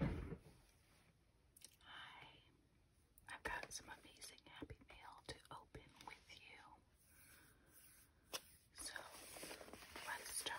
Hi, I've got some amazing happy mail to open with you. So let's start.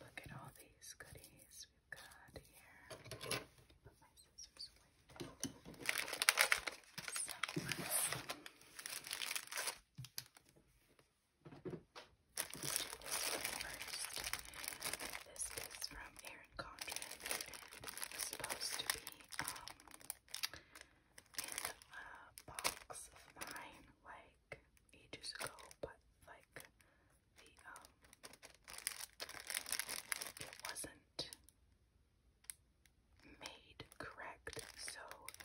Look at all these goodies we've got here. First, this is from Erin Condren, supposed to be um, in a box of mine like ages ago, but like the um it wasn't made correct, so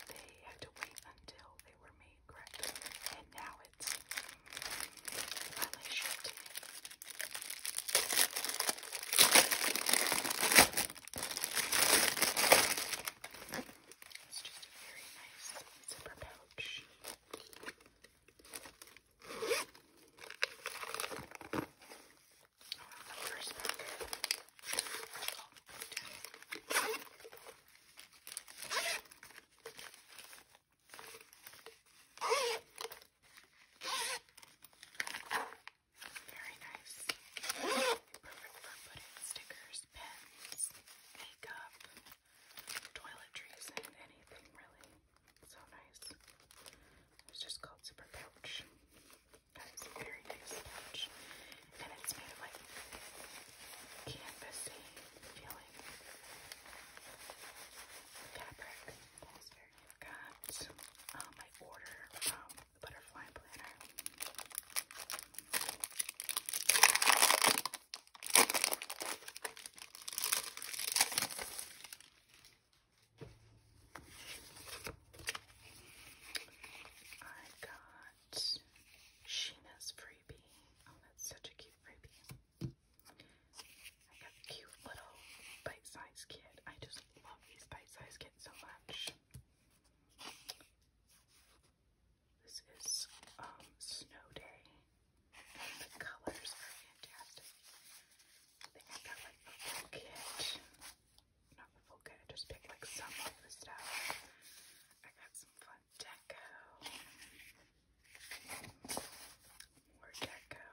they had to wait until they were made correct. And now it's finally shipped it's just a very nice zipper pouch. Oh, very nice. Perfect for putting stickers, pens, makeup, toiletries, and anything really. So nice. It's just called Super Pouch. That is a very nice pouch. And it's made like canvasy feeling fabric. Got um, order butterfly planner. I got Sheena's freebie. Oh, that's such a cute freebie. I got the cute little bite-sized kit. I just love these bite-sized kits so much. This is um, Snow Day, the colors are fantastic. I think I got like the full kit. Not the full kit, I just picked like some of the stuff. I got some fun deco. More deco.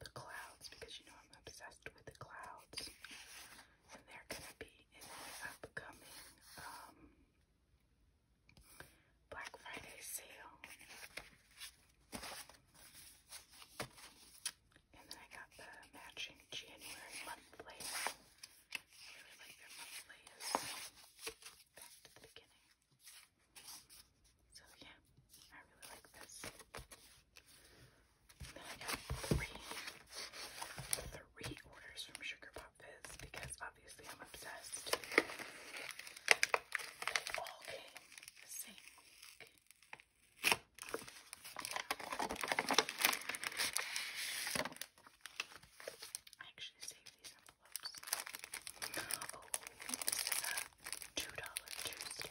The clouds, because you know I'm obsessed with the clouds. And they're gonna be in the upcoming um, Black Friday sale. And then I got the matching January monthly. I really like their monthly back to the beginning. So yeah, I really like this then I got three, three orders from Sugar Pop Fizz because obviously I'm obsessed. They all came I actually saved these envelopes. Oh, this is a two dollar Tuesday.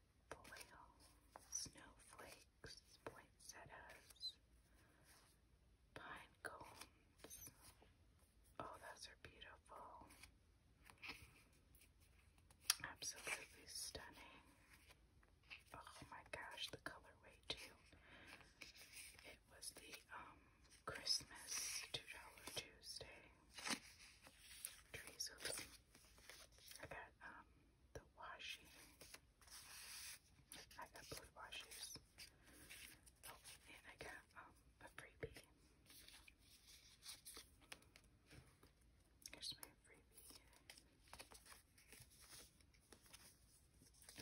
foil, snowflakes, poinsettias, pine cones. Oh, those are beautiful. Absolutely stunning. Oh my gosh, the colorway too. It was the um Christmas $2 Tuesday. Trees, I got um the washi. I got blue washers. Oh, and I got um, a freebie. Here's my freebie.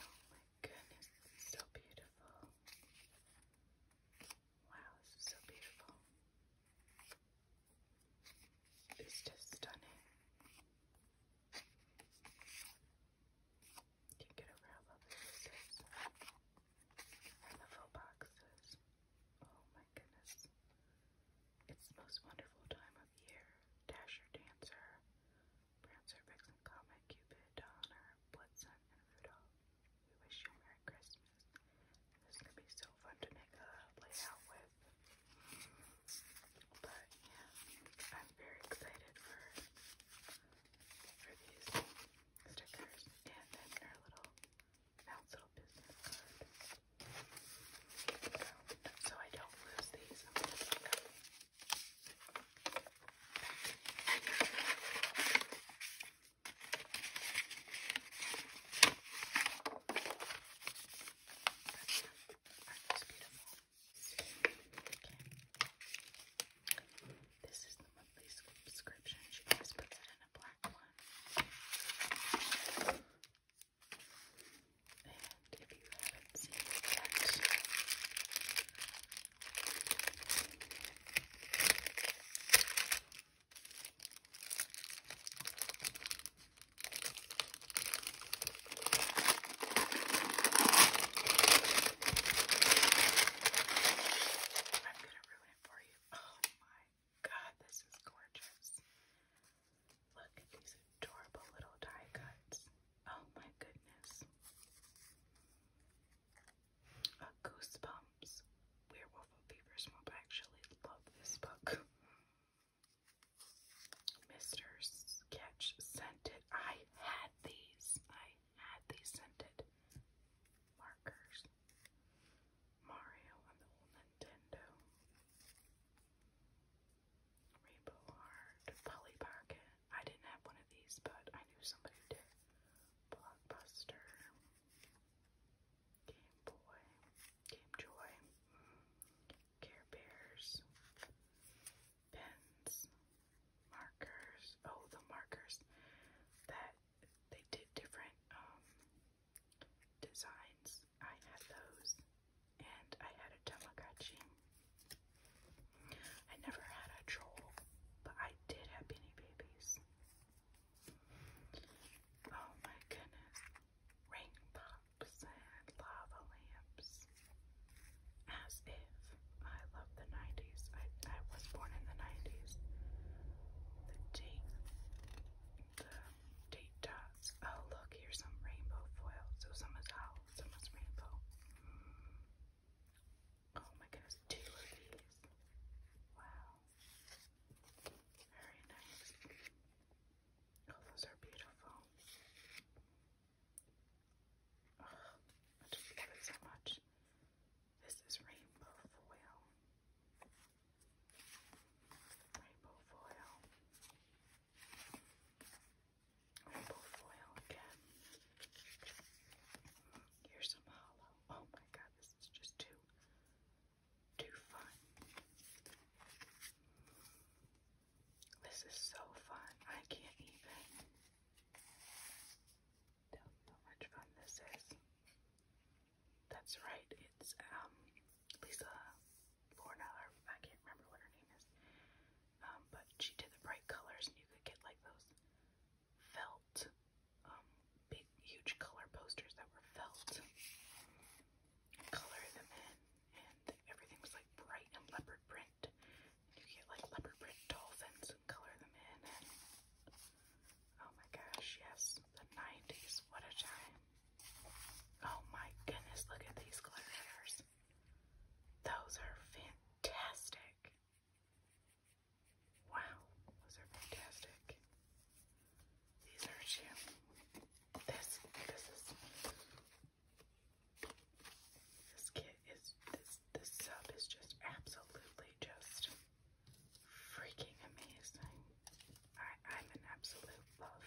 Oh my goodness, so beautiful. Wow, this is so beautiful. It's just stunning. Can't get over how lovely this is. And boxes. Oh my goodness. It's the most wonderful time of year. Dasher, Dancer, Prancer, Vixen, Comet, Cupid, Donner, Blitzen, and Rudolph. We wish you a Merry Christmas. This is going to be so fun to make a layout with. But yeah, I'm very excited for for these stickers and then our little bounce little business So, I don't lose these. Aren't these beautiful? Okay. This is the monthly subscription. She always puts it in a black one. And if you haven't seen it yet, I'm gonna ruin it for you. Oh my god, this is gorgeous. Look at these adorable little die cuts. Oh my goodness. Uh, goosebumps. Werewolf of Beaver I actually love this book. Mr. Sketch scented. I had these. I had these scented markers. Mario on the old Nintendo. Rainbow Art. Polly Pocket. I didn't have one of these, but I knew somebody who did. Blockbuster. Game Boy. Game Joy. Care Bears, pens, markers. Oh, the markers that they did different um, designs. I had those, and I had a Tamagotchi. I never had a troll, but I did have Beanie Babies. Oh my goodness ring and lava lamps. As if I love the 90s. I, I was born in the 90s. The date, the date dots. Oh, look, here's some rainbow foil. So some is owl, some is rainbow. Oh my goodness, two of these. Wow. Very nice. Oh, those are beautiful. Oh, I just love it so much. This is rainbow foil. Rainbow foil. Rainbow foil again. Here's some hollow. Oh my god, this is just too, too fun. This is so fun. I can't even tell how much fun this is. That's right, it's um Lisa Bornell, or I can't remember what her name is. Um, but she did the bright colors and you could get like those felt um big huge color posters that were felt color them in and everything was like bright and leopard print. And you get like leopard print dolphins and color them in, oh my gosh, yes, the 90s, what a time! Oh my goodness, look at these gladiators. Those are fantastic. Wow, those are fantastic. These are two. This, this is this kit is this this sub is just absolutely just freaking amazing. I, I'm an absolute love.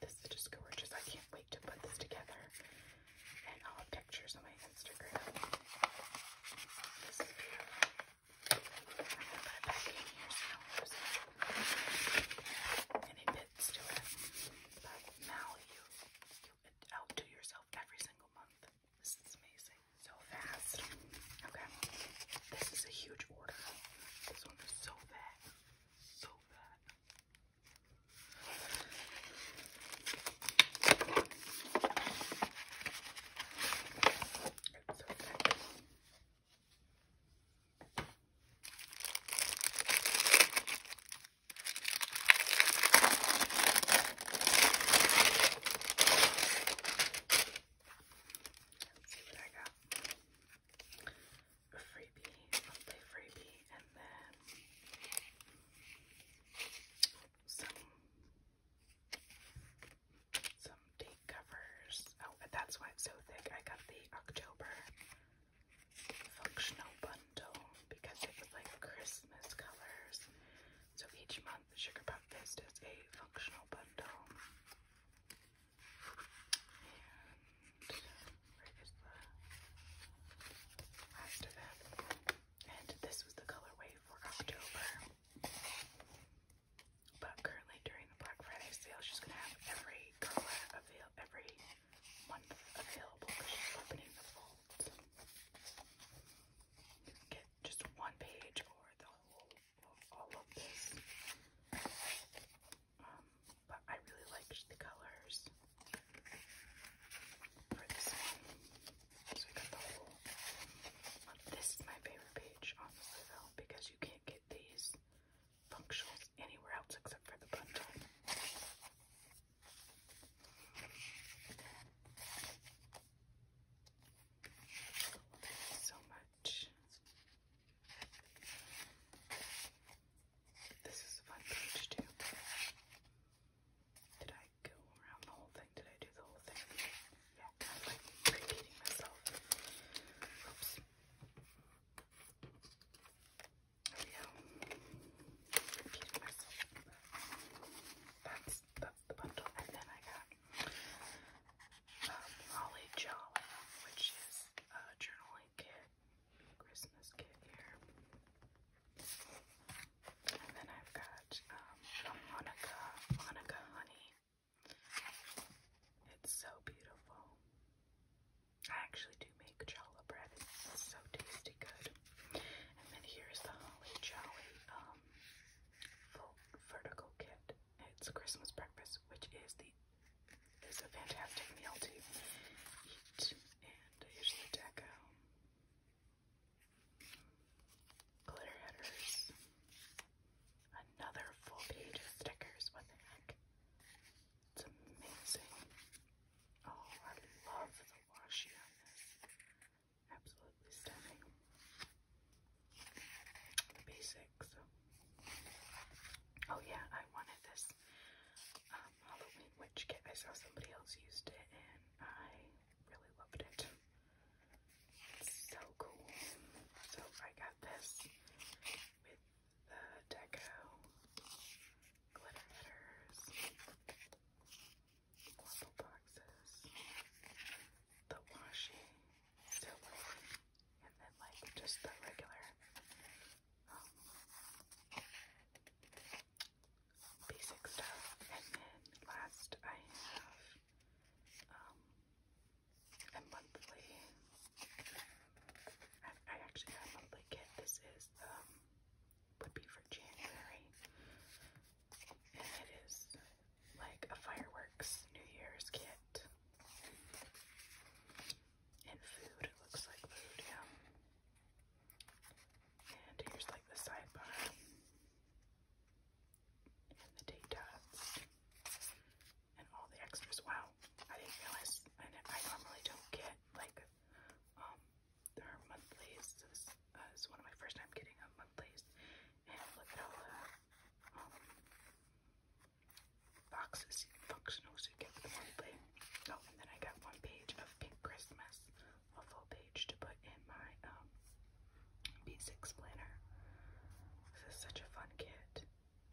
This is just gorgeous. I can't wait to put this together. And i pictures on my Instagram. This is beautiful. I'm gonna put it back in here now you, you outdo yourself every single month. This is amazing. So fast. Okay. This is a huge order. This one is so bad. So bad. Let's see what I got. A freebie, birthday freebie, and then some some date covers. Oh, that's why it's so thick. I got the October functional bundle because it was like Christmas colors. So each month, Sugar Pop Fist is a functional bundle. And where is the last And this was the colorway for October. But currently during the Black Friday sale, she's gonna have every color available, every one available opening the folds. get just one page or the whole all of this. Um, but I really liked the colors for this one. So I got the whole. Um, this is my favorite page, honestly, though, because you can't get these functionals anywhere else except for the bundle. So much. This is fun page too. Did I go around the whole thing? Did I do the whole thing? Yeah, kind of like repeating myself. Oops. I that's, that's the bundle. And then I got Holly Jolly, which is a journaling kit, Christmas kit here. And then I've got um, the Hanukkah, Honey. It's so beautiful. I actually do make challah bread. it's so tasty good. And then here's the Holly Jolly um, full vertical kit. It's Christmas breakfast, which is the is a fantastic meal to eat. And here's the deco. Glitter headers. Another full page of stickers. What the heck? It's amazing. Oh, I love the washi on this. Absolutely stunning. basics. Oh yeah, I wanted this um, Halloween witch kit. I saw somebody else used it and I really loved it. so cool. So I got this the deco glitter headers, waffle boxes, the washi, silver, and then like just the regular um, basic stuff. And then last I have um, a I actually have a blanket. This is um, would be for January, and it is like a fireworks New Year's kit. And food, it looks like food, yeah. And here's like the sidebar. And the date dots. And all the extras. Wow. I didn't realize I, I normally don't get like um her monthlies is, uh, is one of my first time getting a monthlies and look at all the um boxes and you get with the monthly. Oh and then I got one page of Pink Christmas, a full page to put in my um B6 planner. This is such a fun kit.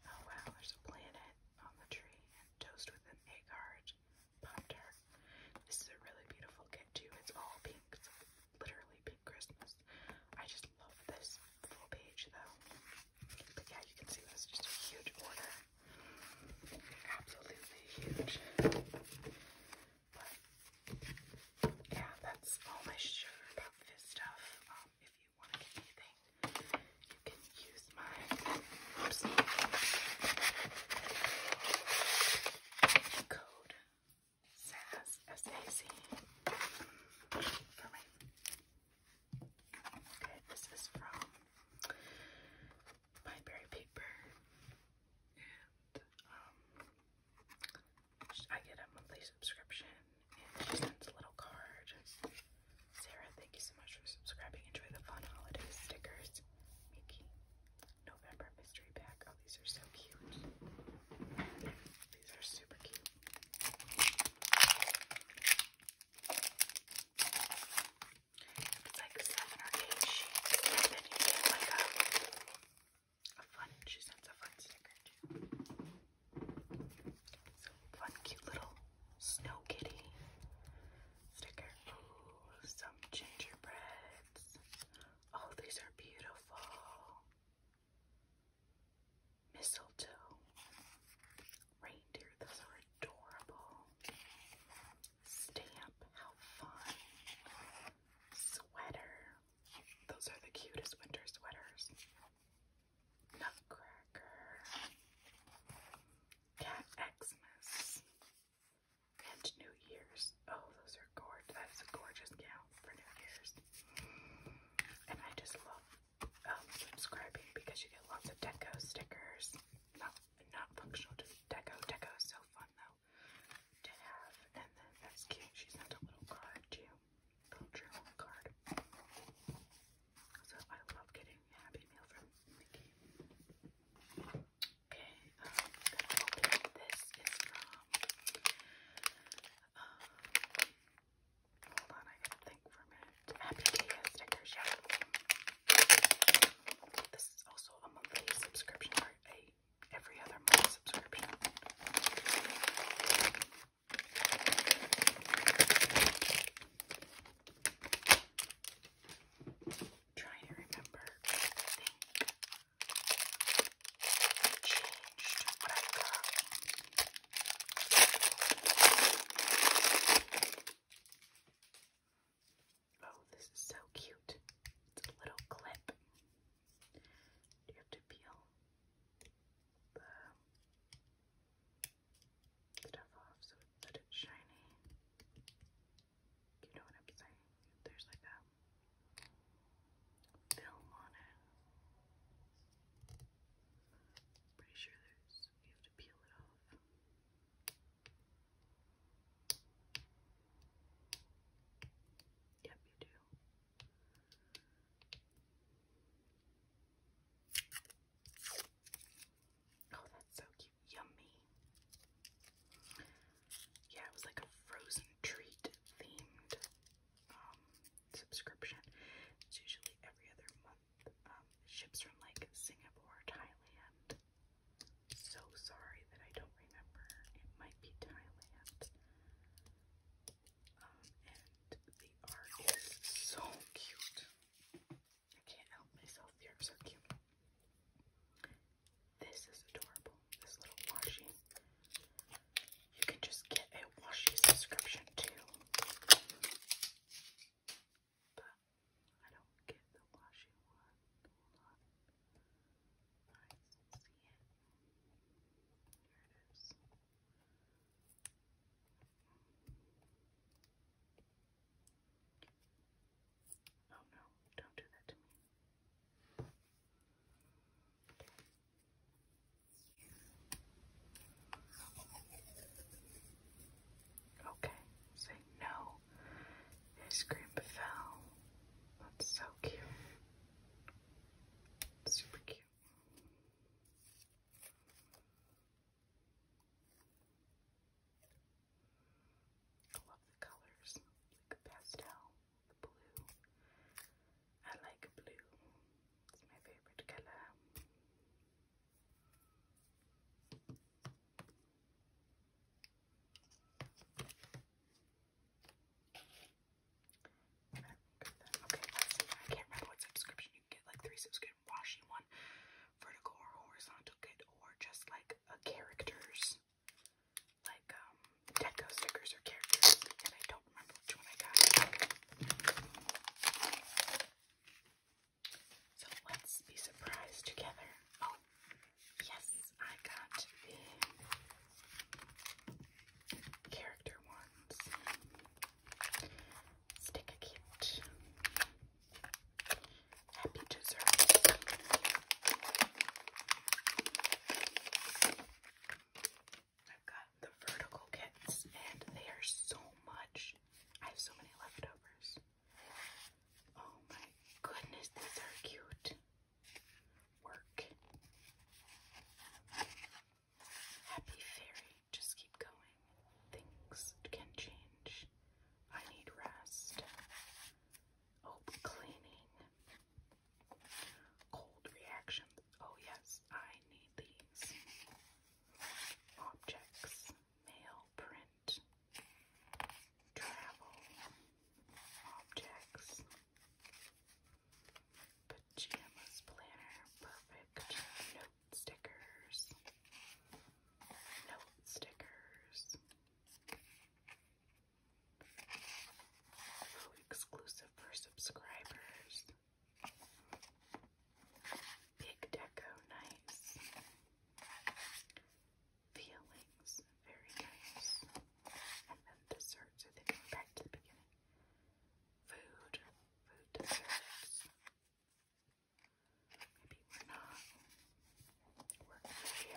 Oh wow, there's a planet on the tree toast with an egg heart, pop This is a really beautiful kit too. It's all pink. It's literally pink Christmas. I just love this full page though. But yeah, you can see that's just a huge order. Absolutely huge. But yeah, that's all I share stuff. Um, if you want anything you can use my code S A Z for my Okay, this is from Pineberry Paper and um I get a monthly subscription and she sends a little card. Sarah, thank you so much for subscribing. Enjoy the fun holiday stickers. Mickey, November mystery pack. Oh, these are so cute. These are super cute. It's like seven or eight sheets, then you get like a, a fun. She sends a fun sticker too. So fun, cute little Snow Kitty sticker. Ooh, some gingerbreads. Oh, these are beautiful. Mistletoe. Reindeer, those are adorable. Stamp, how fun. Sweater. Those are the cutest winter sweaters. Nutcracker. Cat Xmas and New Year's. Oh, those are gorgeous. That is a gorgeous gown for New Year's. And I just love um, subscribing because you get lots of deco stickers. Not not functional to deco. Deco so fun though to have. And then that's cute. She sent a little card to you. Little journal card. So I love getting Happy Meal from Mickey. Okay, um, gonna open this is from. Um, hold on, I gotta think for a minute. Happy Day stickers, yeah. This is also a monthly subscription or a every other month subscription trying to remember. I think I changed what I got. Oh, this is so cute. It's a little clip. You have to peel the stuff off so that it's shiny. You know what I'm saying? There's like a film on it. Pretty sure there's you have to peel it off. Yep, you do. Oh, that's so cute. Yummy. Yeah, it was like a frozen treat themed um, subscription. It's usually every other month. Um, ships from like Singapore Thailand. So sorry that I don't remember. It might be Thailand. Um, and the art is so cute. I can't help myself. They're so cute. This is adorable. This little washi. You can just get a washi subscription too. But I don't get the washi one. Hold on. see it. Oh no, don't do that to me. Okay, say no. His green fell. That's so cute. Super cute. I love the colors, like pastel, the blue. I like blue. It's my favorite color. Okay, I can't remember what subscription you can get, like three subscriptions washi one, vertical or horizontal good, or just like a characters, like um, Deco stickers or characters, and I don't remember which one I got. So let's be surprised together. Oh, yes, I got the character ones. Stick a Happy dessert. I've got the vertical kits and they are so much. I have so many leftovers. Oh my goodness, these are cute. Work. Happy fairy. Just keep going. Things can change. I need rest. cleaning. Cold reactions. Oh, yes, I need these. Objects. Mail, print. Travel. Objects. Pajamas planner. Perfect. Note stickers note stickers. Food exclusive for subscribers. Big deco, nice. Feelings, very nice. And then desserts, I think we're back to the beginning. Food, food desserts. Maybe we're not. We're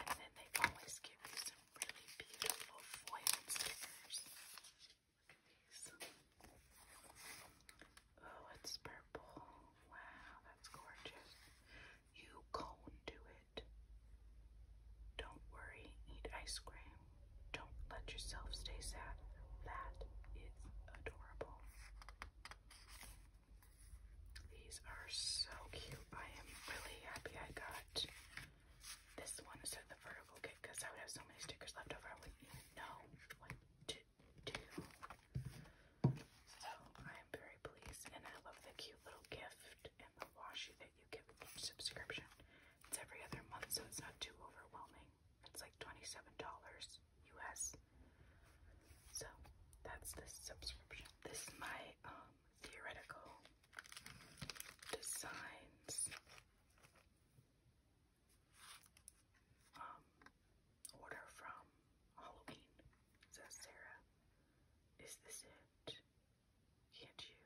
And then they always give you some really beautiful foil stickers. Look at these. Oh, it's purple. Wow, that's gorgeous. You cone do it. Don't worry, eat ice cream. Don't let yourself stay sad. That is adorable. These are so cute. I am really happy I got this one instead of the vertical kit because I would have so many stickers left over. I wouldn't even know what to do. So I am very pleased and I love the cute little gift and the washi that you get with each subscription. It's every other month so it's not too overwhelming. It's like $27 US. So that's the subscription. This is my um, theoretical designs um, order from Halloween. says Sarah, is this it? Can't you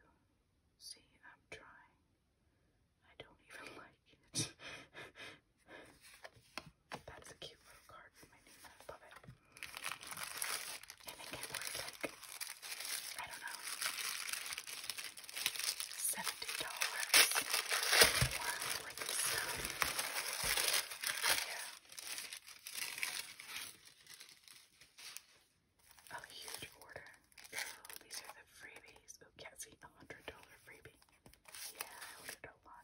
see I'm trying? I don't even like it. That's a cute little card with my name on Love it. I think it was like, I don't know, $70 worth of stuff. Yeah. A huge order. Oh, these are the freebies. Oh, yeah, a $100 freebie. Yeah, I ordered a lot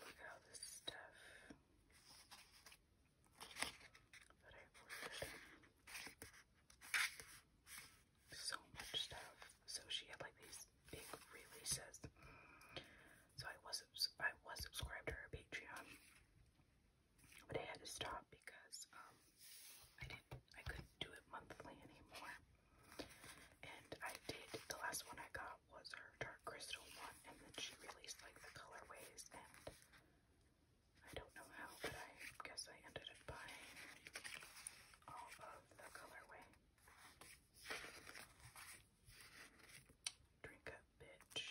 look at all this stuff that I ordered. So much stuff. So she had like these big releases. So I was I was subscribed to her Patreon, but I had to stop because um I I couldn't do it monthly anymore. And I did the last one I got was her dark crystal one and then she released like the colorways and I don't know how but I guess I ended up buying all of the colorway. Drink up bitch.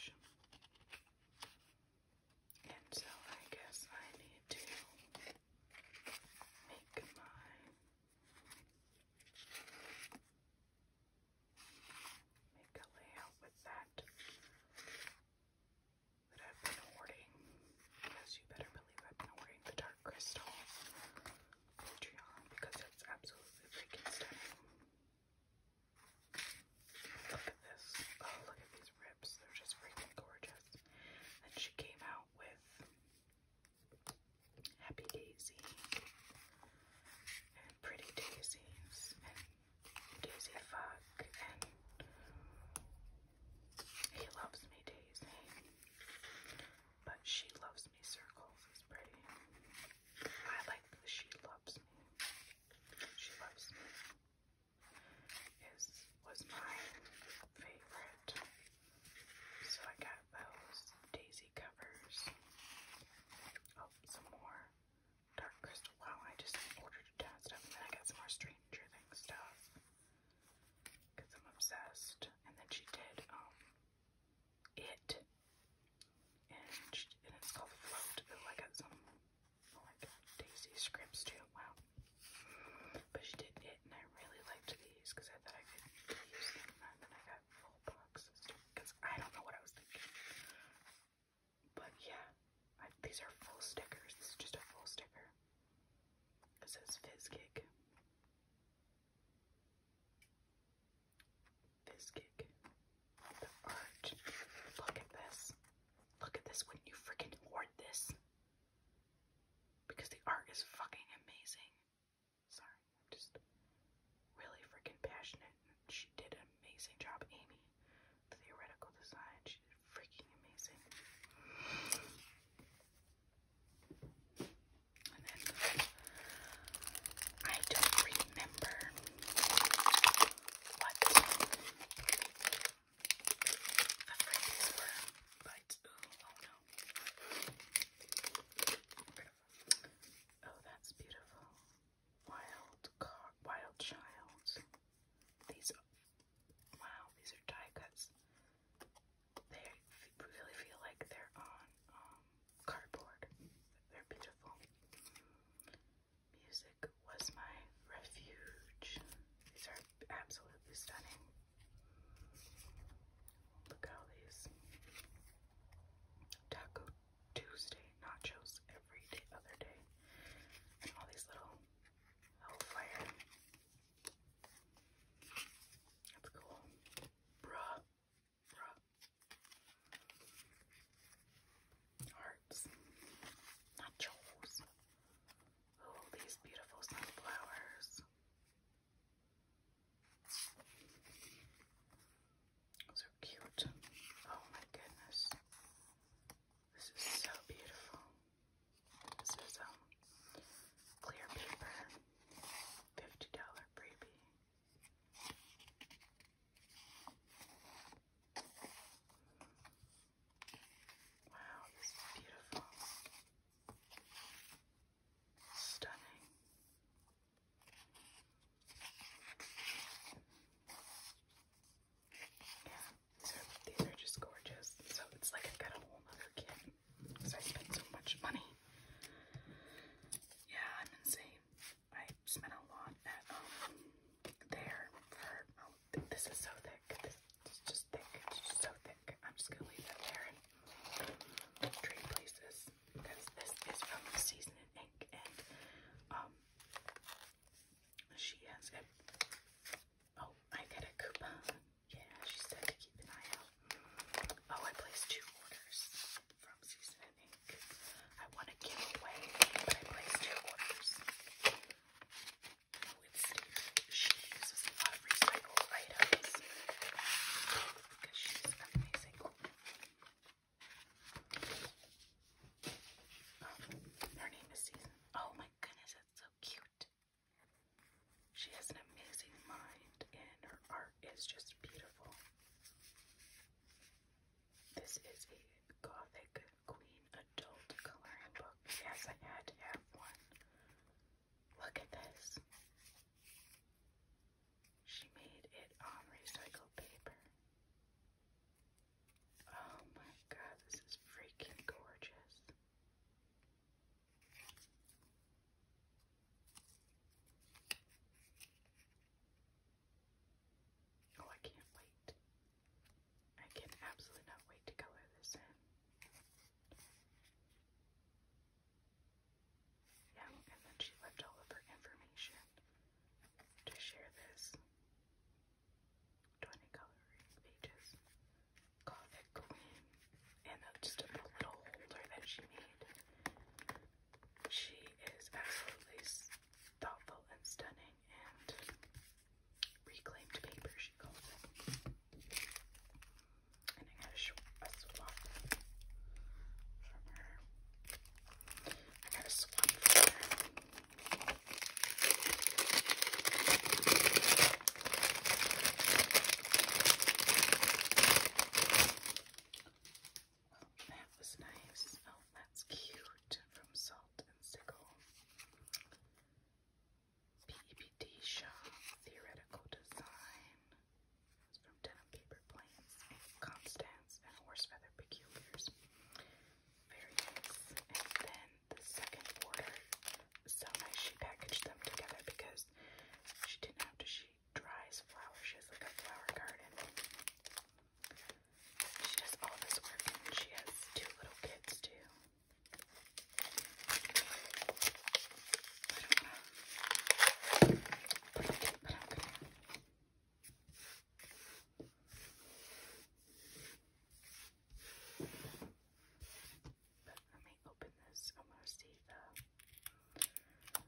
And so I guess I need to make my make a layout with that that I've been hoarding. Yes, you better believe I've been hoarding the dark crystal Patreon because it's absolutely freaking stunning. Look at this. Oh, look at these rips. They're just freaking gorgeous. And she came out with Happy Daisy, and Pretty Daisies, and Daisy Fuck, and He Loves Me Daisy, but She Loves Me Circles is pretty. I like the She Loves Me. She Loves Me is was my favorite so I got those daisy covers. Oh, some more dark crystal. Wow, I just ordered a ton of stuff. then I got some more Stranger Things stuff. Because I'm obsessed. And then she did, um, it. And, it's called Float. Oh, I got some, oh daisy scripts too. Wow. But she did it, and I really liked these because I thought I could use them, and then I got full boxes because I don't know what I was thinking. But yeah, these are full stickers. This is just a full sticker. It says Fizz Kick. Fizz Kick. The art. Look at this. Look at this. would you freaking hoard this? Because the art is fucking amazing. Sorry, I'm just really freaking passionate. She did an amazing job, Amy. theoretical design, she freaking amazing. I don't remember what the phrases were, but oh no. Oh, that's beautiful. Wild wild child. These, wow, these are die cuts. They really feel like they're on um, cardboard. They're beautiful. Music was my refuge. These are absolutely stunning. Look how these Taco Tuesday nachos every day, other day, all these little hellfire. That's cool. Bruh. Bruh. Hearts. Nachos. Oh, these beautiful sunflowers. So cute. Oh my goodness. This is so beautiful. This is um clear paper. Fifty dollar freebie. Wow, this is beautiful. Stunning. Yeah, so these are just gorgeous. So it's like I've got a whole other kit because I spent so much money. Yeah, I'm insane. I spent a lot at um there for oh, this is so thick. It's just thick. It's just so thick. I'm just going to leave that there and trade places because this is from Season and Ink and um, she has a, oh, I get a coupon. Yeah, she said to keep an eye out. Oh, I placed two orders from Season and Ink. I want to give away, but I placed two orders. Oh, it's Steve she uses a lot of recycled items because she's amazing. her name is Season. Oh my goodness, that's so cute. She has an amazing mind, and her art is just beautiful. This is a Gothic Queen adult coloring book. Yes, I had one. Look at this. She made it on recycled paper. Oh my god, this is freaking gorgeous. Oh, I can't wait. I can absolutely not wait to color this in. Yeah, and then she left all of her information to share this 20 coloring pages Gothic Queen and just a little holder that she made. She is absolutely thoughtful and stunning and reclaimed paper, she calls it. And I got a, a from her. I got a swap from her. Well, oh, that was nice. Oh, that's cute. From Salt and Sickle. PBD Shaw Theoretical Design. It's from Denim Paper Planes Constance and Horse Feather Peculiars. Very nice. And then the second order, so nice she packaged them together because she didn't have to, she dries flowers. She has like a flower garden. She does all this work and she has two little kids too. But let me open this. I want to see the. Okay.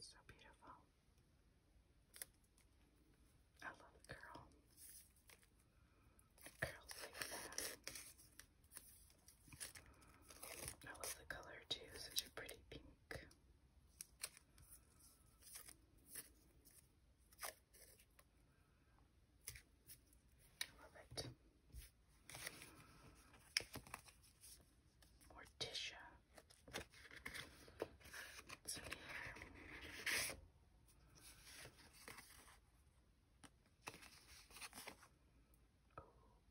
So beautiful. I love the curl. curls like that. I love the color too, such a pretty pink. I love it. Morticia. What's in here?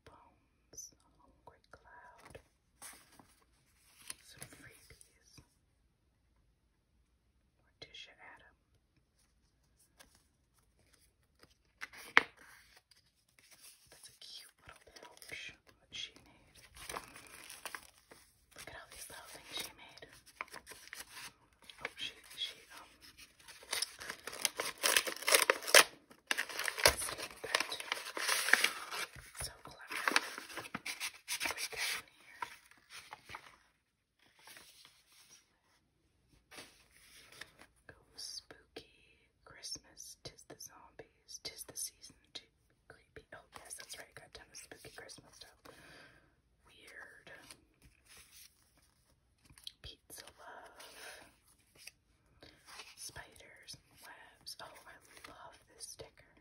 bones, a hungry cloud, some freebies, Morticia Adam. That's a cute little pouch that she made. Look at all these little things she made. Oh, she, she, um, so clever. What do we got in here? Go spooky. Christmas, tis the zombies, tis the season to creepy. Oh, yes, that's right. Got a of spooky Christmas stuff. Weird. Pizza Love. Spiders and webs. Oh, I love this sticker.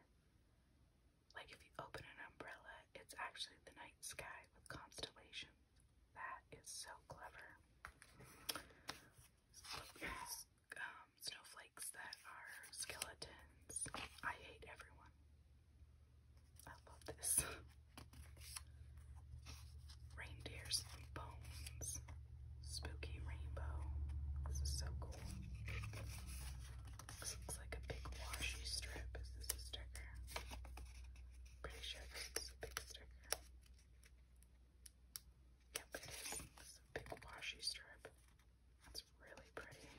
Like, if you open an umbrella, it's actually the night sky with constellations. That is so clever um, snowflakes that are skeletons. I hate everyone. I love this. Reindeers and bones. Spooky rainbow. This is so cool. This looks like a big washi strip. Is this a sticker? Pretty sure this is a big sticker. Yep, it is. a big washi strip. It's really pretty.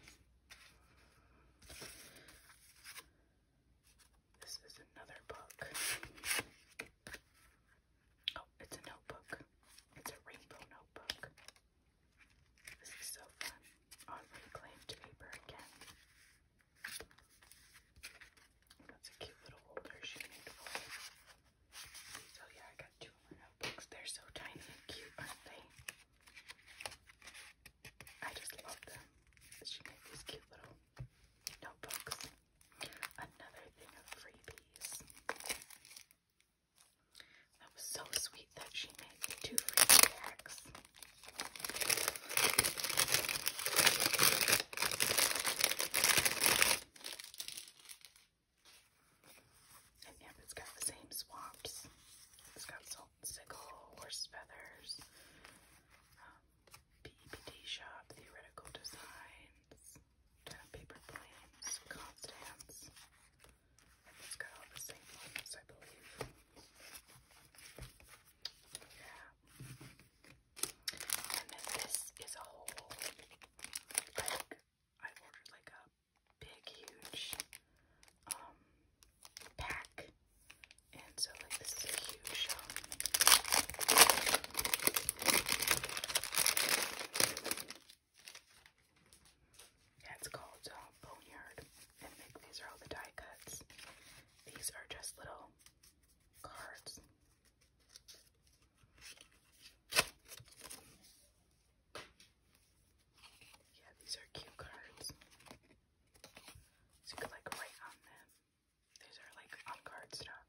This is another book. Oh, it's a notebook. It's a rainbow notebook. This is so fun. On reclaimed paper again. That's a cute little holder she made for so yeah, I got two notebooks. They're so tiny and cute, aren't they? I just love them. She made these cute little notebooks. Another thing of freebies. That was so sweet that she made two freebie packs. And yep, it's got the same swaps. It's got salt and sickle, horse feathers, um, shop, theoretical designs, paper planes, Constance. it's got all the same ones, I believe. Yeah. And then this is a whole, like, I ordered like a big, huge, um, pack. And so, like, this is a huge, um, yeah, it's called uh, Boneyard. And like, these are all the die cuts. These are just little cards yeah, these are cute cards. you could like write on them. These are like on cardstock,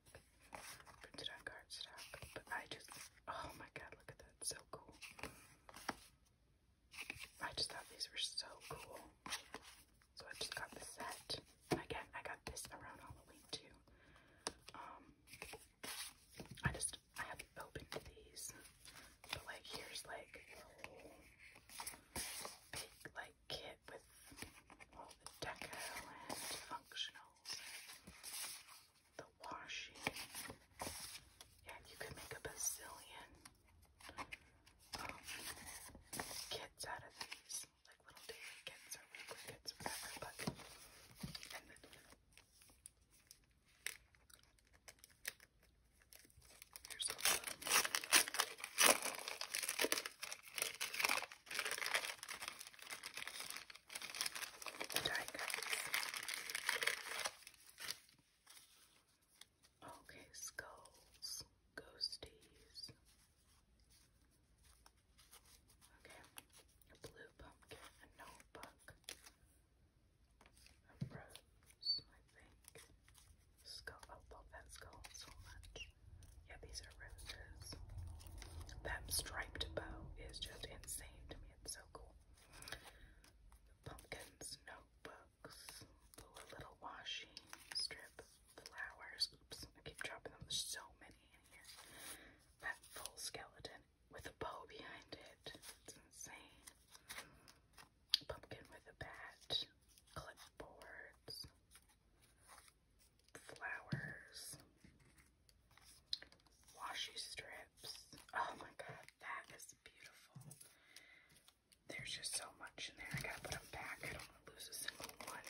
printed on cardstock. But I just, oh my god, look at that, so cool. I just thought these were so cool. So I just got the set. Again, I got this around Halloween too. Um, I just I haven't opened these, but like here's like big like kit with all the deco and functionals, the washing. Yeah, you could make a bazillion um, kits out of these pets, like little daily kits or weekly kits or but Okay, skulls, ghosties, Okay, a blue pumpkin, a notebook, a rose, I think. Skull, I oh, love that skull so much. Yeah, these are roses. That striped bow is just insane to me. It's so cool. pumpkins, notebooks, a little washi strip, flowers. Oops, I keep dropping them. so many in here. That full skeleton with a bow behind it. It's insane. Pumpkin with a bat. Clipboards. Flowers. Washi strips. Oh my god, that is beautiful. There's just so much in there. I gotta put them back. I don't want to lose a single one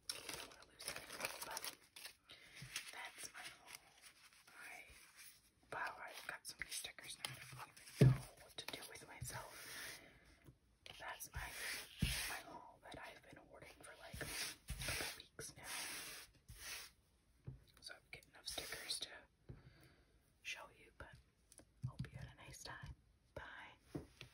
don't want to lose that anyway, but that's my haul. I, wow, I've got so many stickers now, I don't even know what to do with myself. That's my, my haul that I've been hoarding for like a couple weeks now. So I'm getting enough stickers to show you, but hope you had a nice time. Bye.